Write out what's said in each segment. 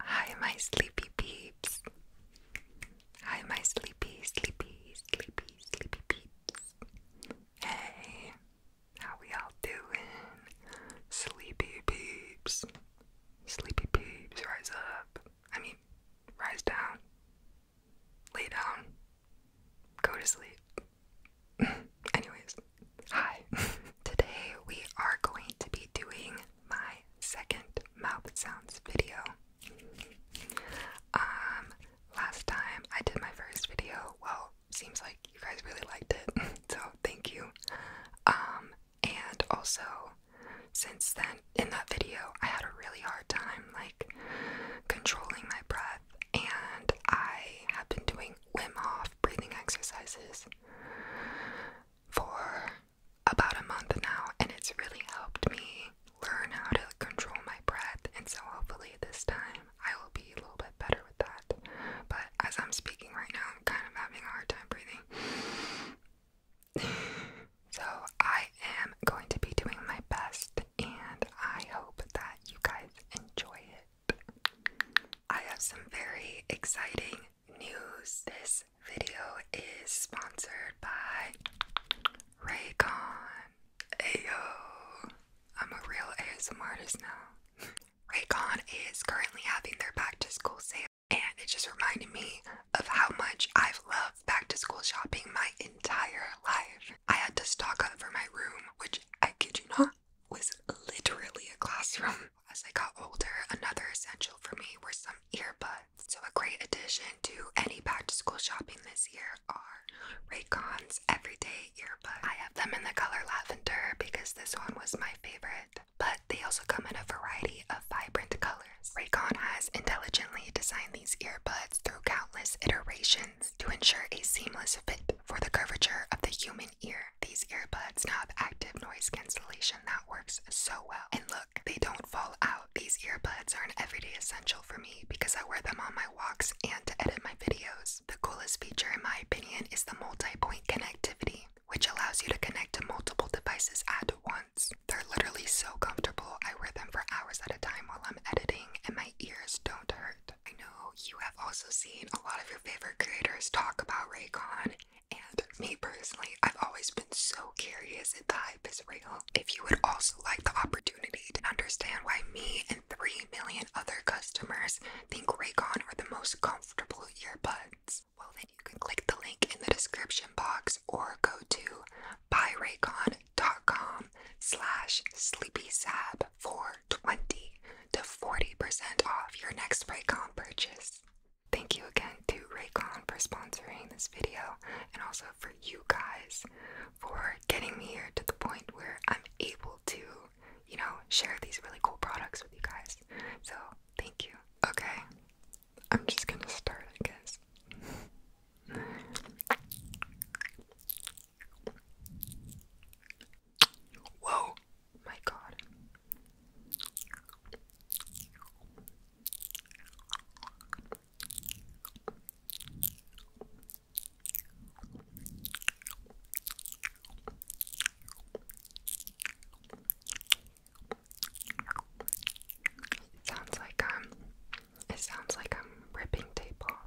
Hi, my sleepy peeps. Hi, my sleepy, sleepy, sleepy, sleepy peeps. Hey, how we all doing? Sleepy peeps. Sleepy peeps, rise up. I mean, rise down, lay down, go to sleep. Anyways, hi. Today we are going to be doing my second mouth sounds video. Um, last time I did my first video, well, seems like you guys really liked it, so thank you. Um, and also, since then, in that video, I had a really hard time like controlling my breath, and I have been doing Wim off breathing exercises for about a month now, and it's really helped me learn how to control my breath. And so, hopefully, this time I will be a little bit better with that. But as I'm speaking right now, I'm kind of having a hard time breathing. so I am going to be doing my best and I hope that you guys enjoy it. I have some very exciting news. This video is sponsored by Raycon. Ayo! I'm a real ASMR artist now. Raycon is currently having their back to school sale and it just reminded me of how much I've loved back to school shopping my entire life. I had to stock up for my room, which I kid you not was literally a classroom. As I got older, another essential for me were some earbuds. So, a great addition to any back to school shopping this year are Raycon's Everyday Earbuds. I have them in the color lavender because this one was my favorite. But they also come in a variety of vibrant colors. Raycon has intelligently designed these earbuds through countless iterations to ensure a seamless fit for the curvature of the human ear. These earbuds now have active noise cancellation that works so well. And look, they don't fall out. These earbuds are an everyday essential for me because I wear them on my walks and to edit my videos. The coolest feature, in my opinion, is the multi point connectivity, which allows you to connect to multiple devices at once they're literally so comfortable. I wear them for hours at a time while I'm editing and my ears don't hurt. I know you have also seen a lot of your favorite creators talk about Raycon and me personally, I've always been so curious if the hype is real. If you would also like the opportunity to understand why me and 3 million other customers think Raycon are the most comfortable earbuds, well then you can click the link in the description box or go to buyraycon.com slash sleepysab for 20 to 40% off your next Raycon purchase. Thank you again to Raycon for sponsoring this video and also for you guys for getting me here to the point where I'm able to, you know, share these really cool products with you guys. So, thank you. Okay, I'm just gonna start, I guess. Whoa, my God. It sounds like i um, it sounds like I'm ripping tape off.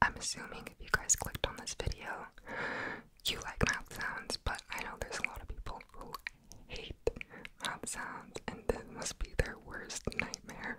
I'm assuming if you guys clicked on this video, you like mouth sounds, but I know there's a lot of people who hate mouth sounds, and this must be their worst nightmare.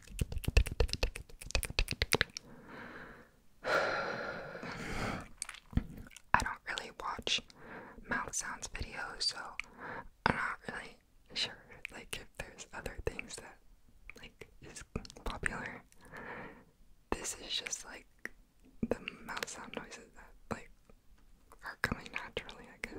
I don't really watch mouth sounds videos, so I'm not really sure like if there's other things that like is popular. This is just like the mouth sound noises that like are coming naturally, I guess.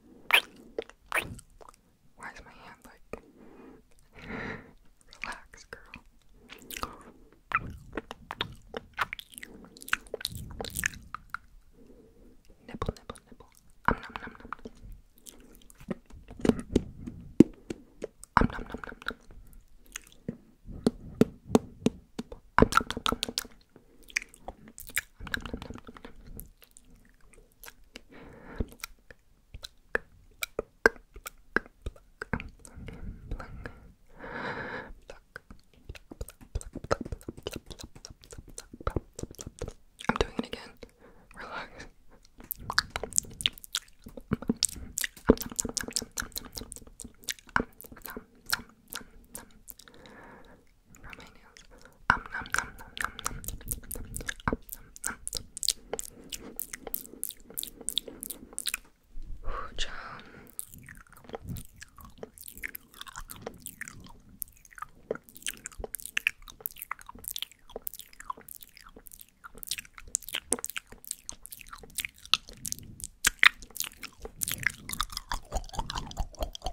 Why is my hand like relax, girl? Nipple, nipple, nipple. Um nom nom nom. Um nom nom nom nom. Um nom nom nom. I'm doing it again. Relax from my Um, nom, nom, nom, nom, nom, nom, um, nom, nom. Ooh, child.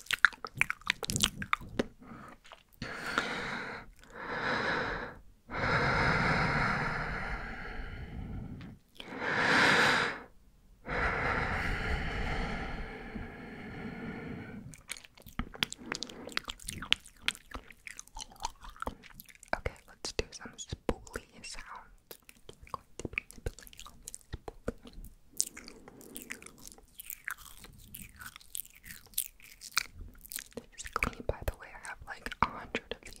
Okay, let's do some spoolie sounds. We're going to be nibbling on this spoolie. This is clean, by the way. I have like a hundred of these.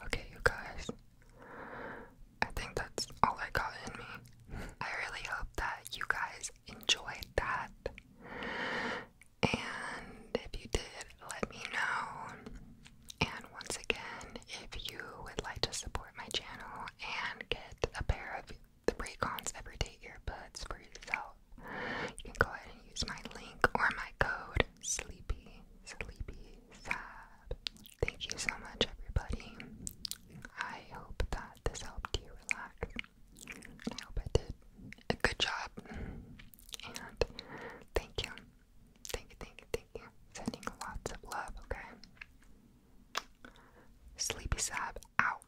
Okay, you guys, I think that's all I got in me. I really hope that you guys enjoyed that. And if you did, let me know. And once again, if you would like to support my channel and get a pair of the Raycons Everyday Earbuds for yourself, you can go ahead and use my link or my code sleepy sleepy sab Thank you so much, everybody. I hope that this helped you relax. I hope I did a good job. And thank you. Thank you, thank you, Sending lots of love, okay? Sleepy Sab out.